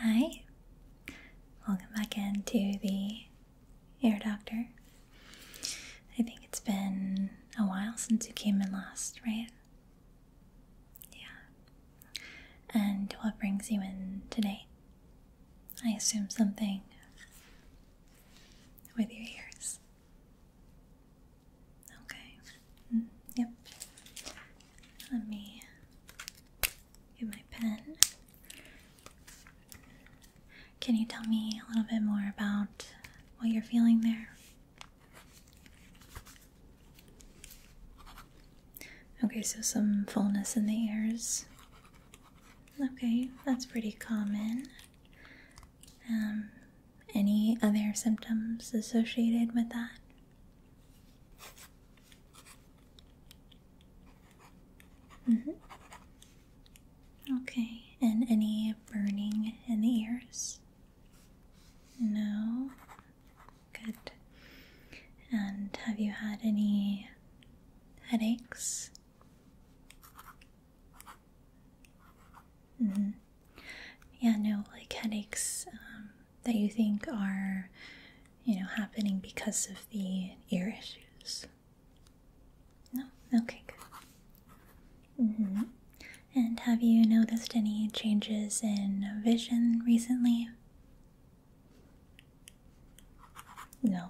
Hi, welcome back in to the Ear Doctor. I think it's been a while since you came in last, right? Yeah. And what brings you in today? I assume something with your ears. Okay. Mm, yep. Let me get my pen. Can you tell me a little bit more about what you're feeling there? Okay, so some fullness in the ears. Okay, that's pretty common. Um, any other symptoms associated with that? Mm-hmm. Okay, and any burning in the ears? No? Good. And have you had any headaches? Mm -hmm. Yeah, no, like headaches um, that you think are, you know, happening because of the ear issues. No? Okay, good. Mm -hmm. And have you noticed any changes in vision recently? No.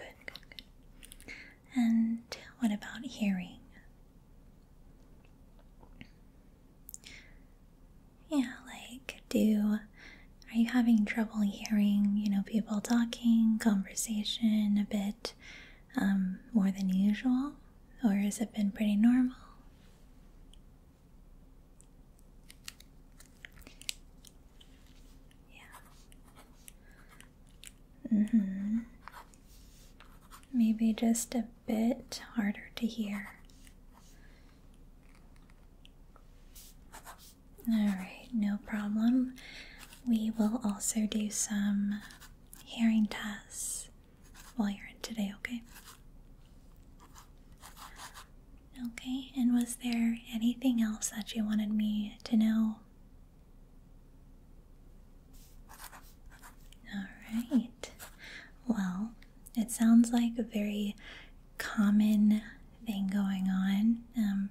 Good, good, good. And what about hearing? Yeah, like, do are you having trouble hearing, you know, people talking, conversation a bit um, more than usual? Or has it been pretty normal? Yeah. Mm hmm. Maybe just a bit harder to hear. Alright, no problem. We will also do some hearing tests while you're in today, okay? Okay, and was there anything else that you wanted me to know? All right. Well, it sounds like a very common thing going on. Um,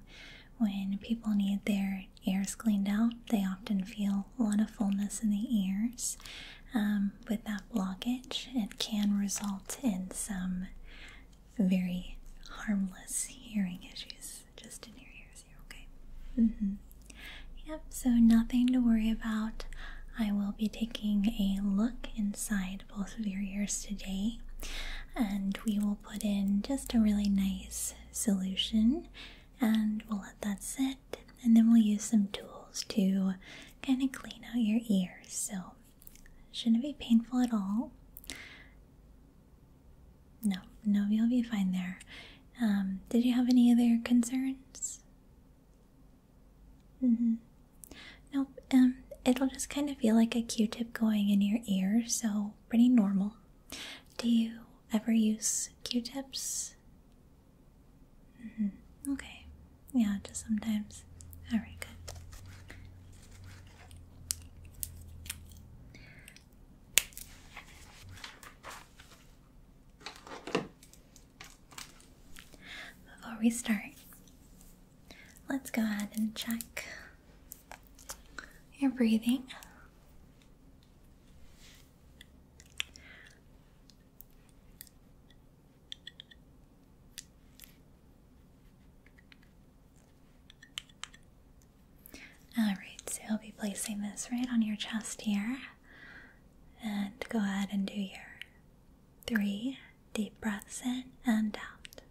when people need their ears cleaned out, they often feel a lot of fullness in the ears. Um, with that blockage, it can result in some very harmless hearing issues just in your ears. You're okay. Mm-hmm. Yep, so nothing to worry about. I will be taking a look inside both of your ears today, and we will put in just a really nice solution and we'll let that sit. And then we'll use some tools to kind of clean out your ears. So, shouldn't be painful at all. No, no, you'll be fine there. Um, did you have any other concerns? Mm Nope. Um, it'll just kind of feel like a Q-tip going in your ear, so pretty normal. Do you ever use Q-tips? Mm -hmm. Okay. Yeah, just sometimes. All right, good. Before we start, let's go ahead and check your breathing. All right, so I'll be placing this right on your chest here. And go ahead and do your three deep breaths in and out.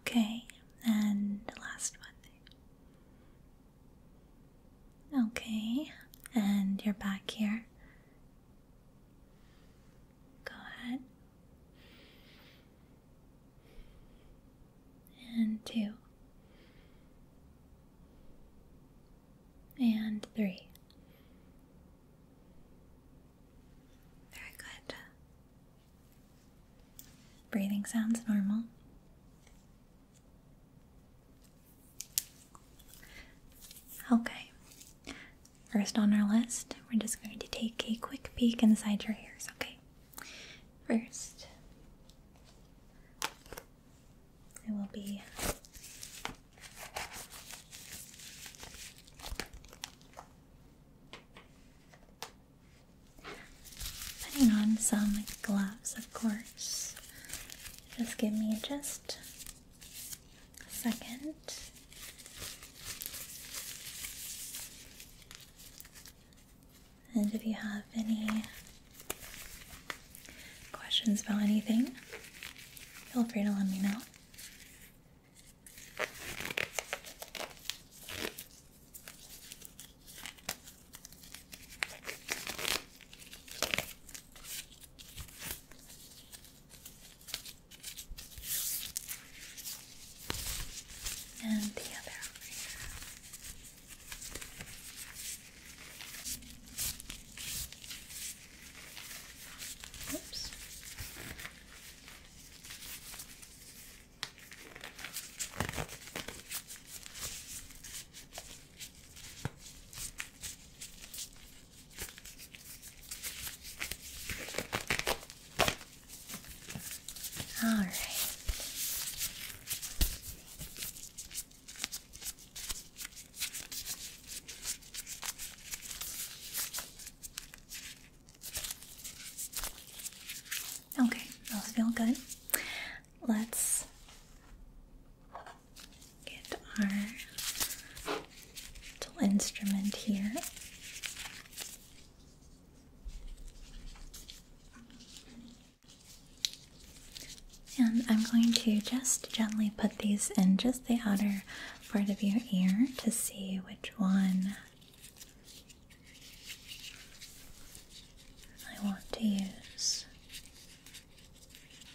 Okay, and last one. Okay, and you're back here Go ahead and two and three. Very good. Breathing sounds normal. Okay, first on our list, we're just going to take a quick peek inside your ears, okay? First, I will be putting on some gloves, of course. Just give me just second. And if you have any questions about anything, feel free to let me know and the other Oops. All right. Okay, those feeling good. Let's get our little instrument here. And I'm going to just gently put these in just the outer part of your ear to see which one I want to use.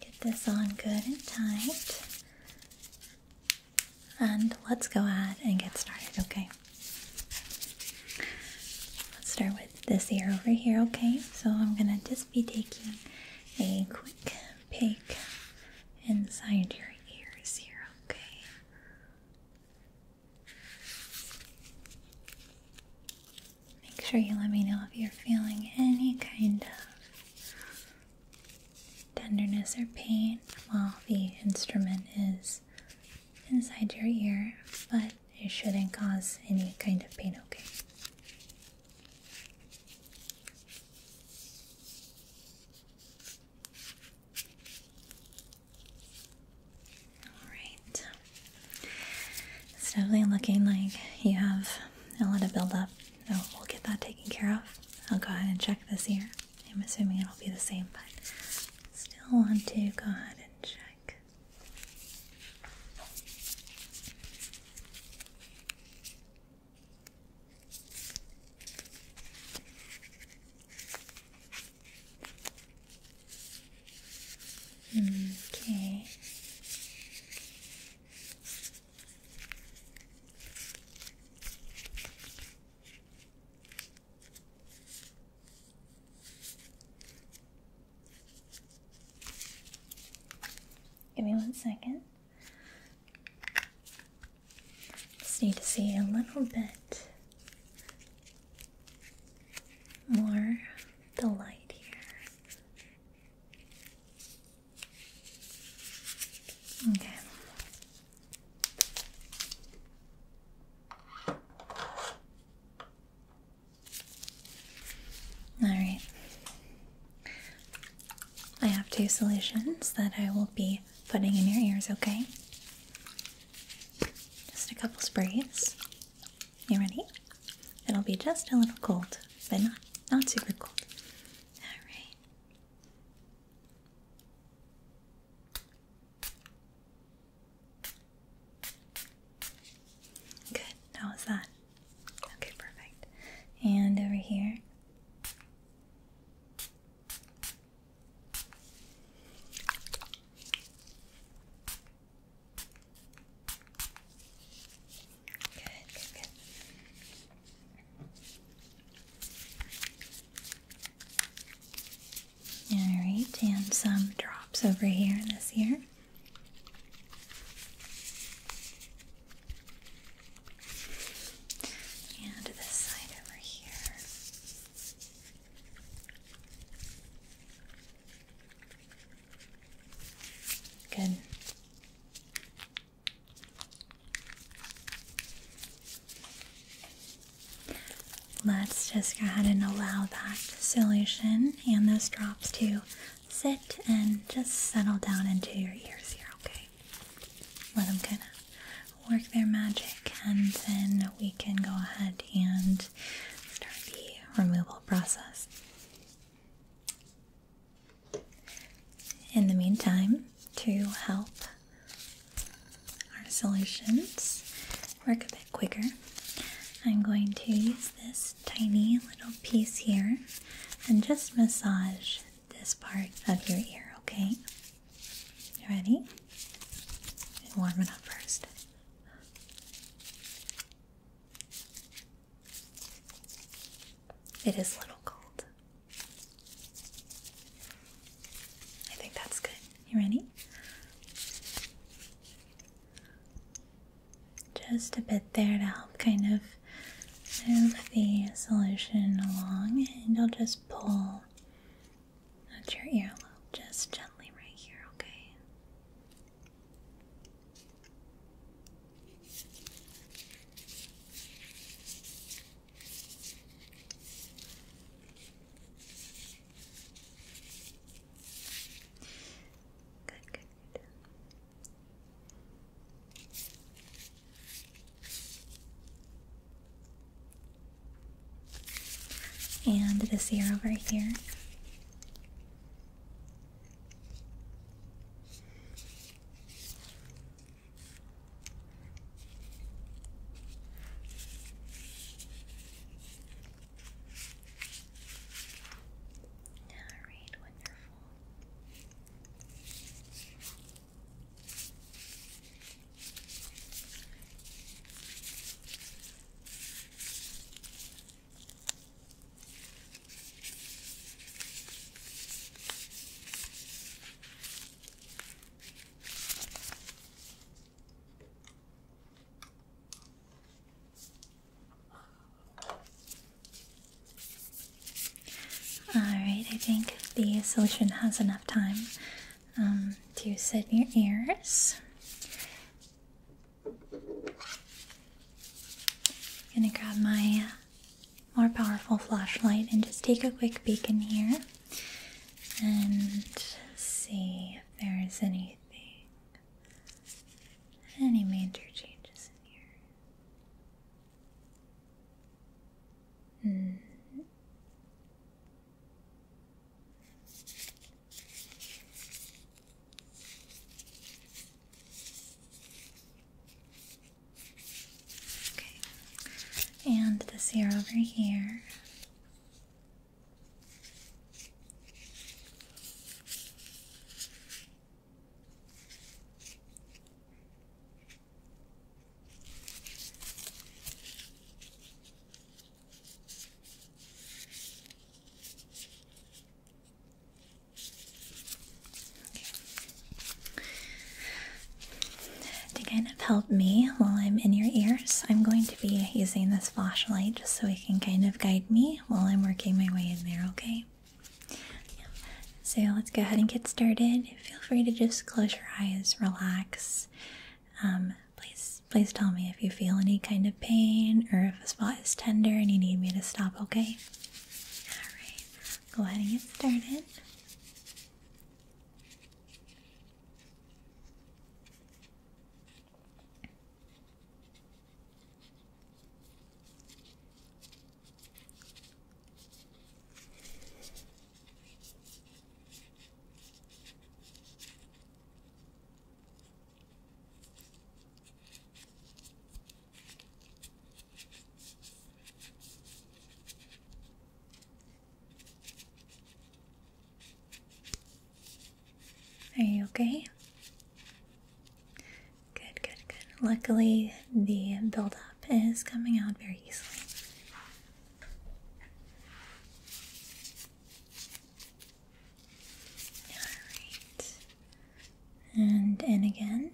Get this on good and tight. And let's go ahead and get started, okay? Let's start with this ear over here, okay? So I'm gonna just be taking a quick peek inside your ears here, okay? Make sure you let me know if you're feeling any kind of tenderness or pain while the instrument is inside your ear, but it shouldn't cause any kind of pain, okay? Alright. It's definitely looking like you have a lot of buildup no, we'll get that taken care of. I'll go ahead and check this here. I'm assuming it'll be the same, but still want to go ahead and check. Okay. Give me one second. Just need to see a little bit more the light here. Okay. All right. I have two solutions that I will be putting in your ears, okay? Just a couple sprays. You ready? It'll be just a little cold, but not not super cold. All right. Good. How was that? Okay, perfect. And over here. Alright, and some drops over here this ear. And this side over here. Good. Let's just go ahead and allow that solution and those drops to sit and just settle down into your ears here, okay? Let them kind of work their magic and then we can go ahead and start the removal process. In the meantime, to help our solutions work a bit quicker, I'm going to use this tiny little piece here and just massage this part of your ear, okay? You ready? warm it up first. It is a little cold. I think that's good. You ready? Just a bit there to help kind of move the solution along, and I'll just pull at your earlobe just gently right here, okay? And this ear over here. All right, wonderful. Alright, I think the solution has enough time um, to sit in your ears. I'm gonna grab my uh, more powerful flashlight and just take a quick peek in here and see if there is anything, any major changes in here. Hmm. Okay, and this here over here. To kind of help me while I'm in your ears, I'm going to be using this flashlight just so it can kind of guide me while I'm working my way in there, okay? So let's go ahead and get started. Feel free to just close your eyes, relax. Um, please, please tell me if you feel any kind of pain or if a spot is tender and you need me to stop, okay? Alright, go ahead and get started. Are you okay? Good, good, good. Luckily, the buildup is coming out very easily. Alright. And in again.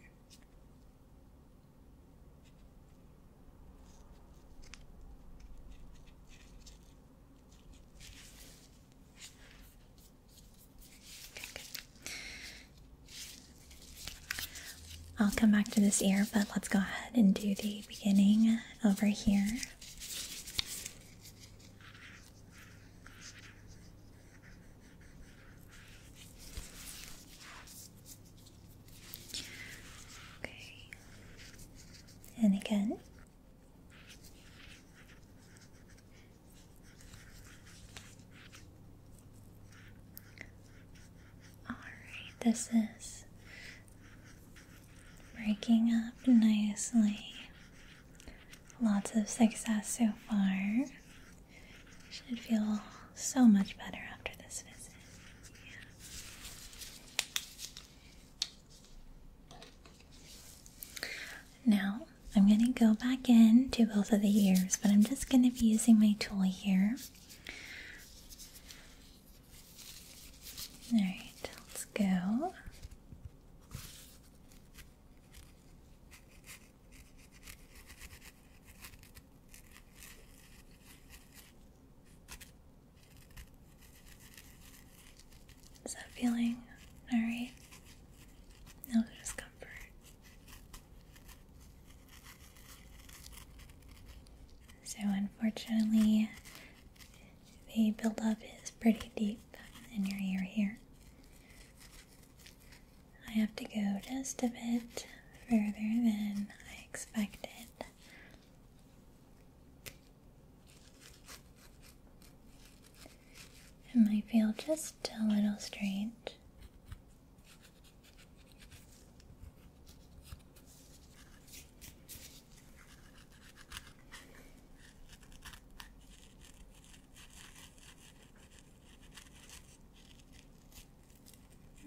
I'll come back to this ear, but let's go ahead and do the beginning over here. Okay. And again. All right, this is breaking up nicely. Lots of success so far. Should feel so much better after this visit. Now, I'm going to go back into both of the ears, but I'm just going to be using my tool here. Alright, let's go. Is that feeling alright? No discomfort. So, unfortunately, the buildup is pretty deep in your ear here. I have to go just a bit further than I expected. It might feel just a little strange.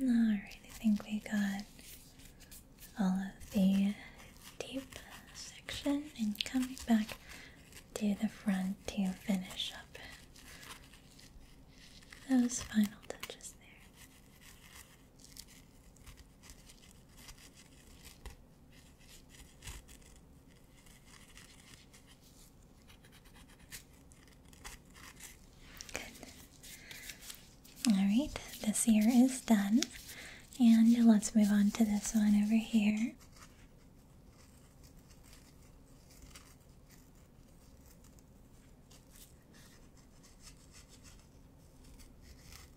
Alright, I think we got all of the deep section and coming back to the front to finish up those final touches there. Alright, this ear is done. And let's move on to this one over here.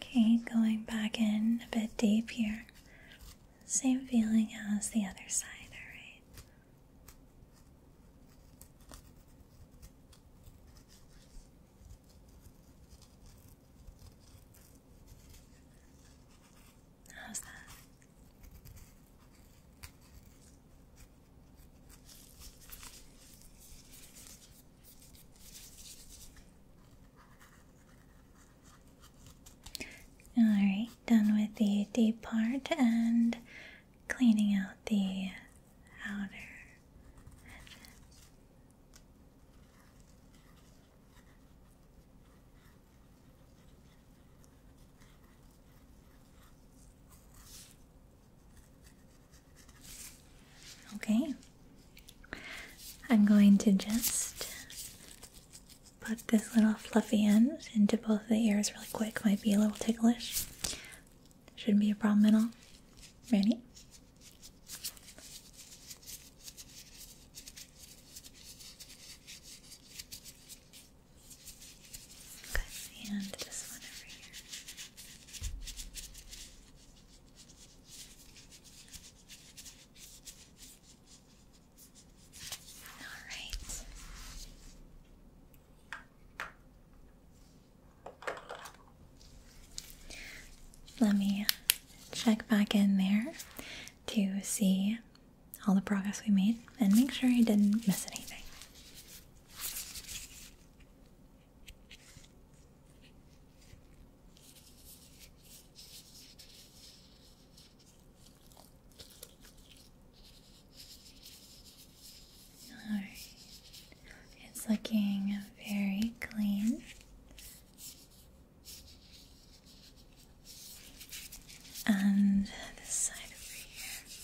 Okay, going back in a bit deep here. Same feeling as the other side, alright? How's that? Alright, done with the deep part and cleaning out the outer Okay, I'm going to just put this little fluffy end into both of the ears really quick. Might be a little ticklish. Shouldn't be a problem at all. Ready? and this one over here. All right. Let me check back in there to see all the progress we made and make sure I didn't miss anything. All right. It's looking very clean. And this side over here.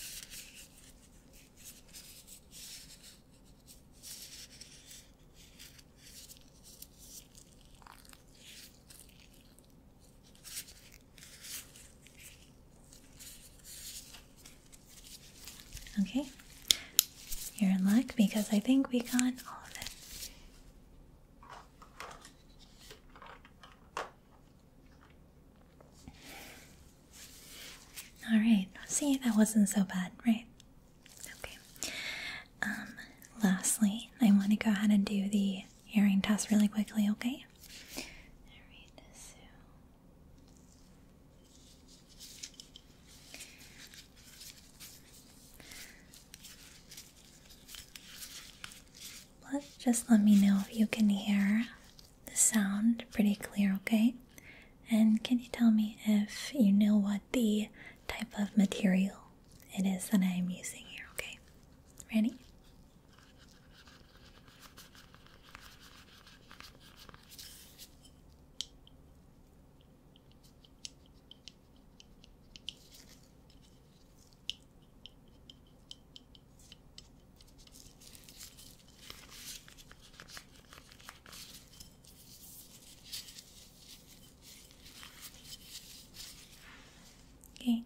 Okay, you're in luck because I think we got all of it. Alright, see, that wasn't so bad, right? Okay. Um, lastly, I want to go ahead and do the hearing test really quickly, okay? Let's just let me know if you can hear the sound pretty clear, okay? And can you tell me if you know what the type of material it is that I am using here, okay? Ready? Okay.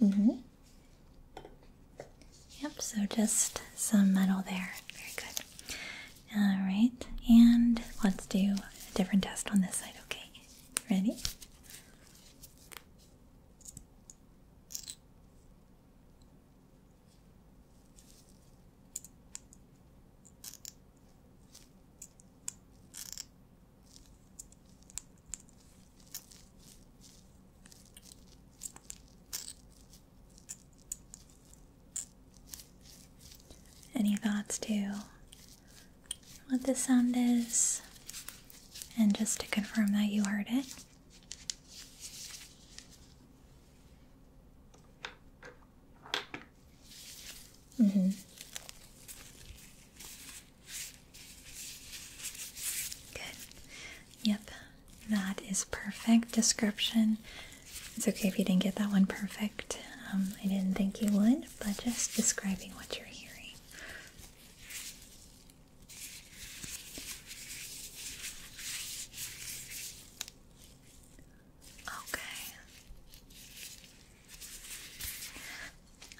hmm Yep, so just some metal there. Very good. Alright, and let's do a different test on this side, okay? Ready? Any thoughts, too, what the sound is, and just to confirm that you heard it. Mm-hmm. Good. Yep, that is perfect description. It's okay if you didn't get that one perfect. Um, I didn't think you would, but just describing what you're hearing. Okay.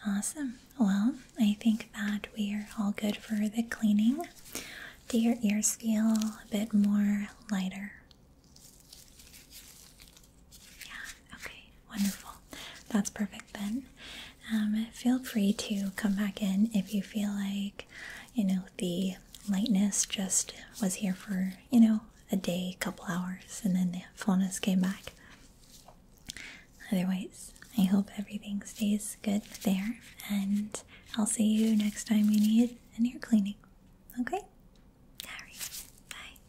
Awesome. Well, I think that we're all good for the cleaning. Do your ears feel a bit more lighter? Yeah, okay, wonderful. That's perfect then. Um, feel free to come back in if you feel like you know the lightness just was here for you know a day couple hours and then the fullness came back otherwise i hope everything stays good there and i'll see you next time you need an ear cleaning okay all right bye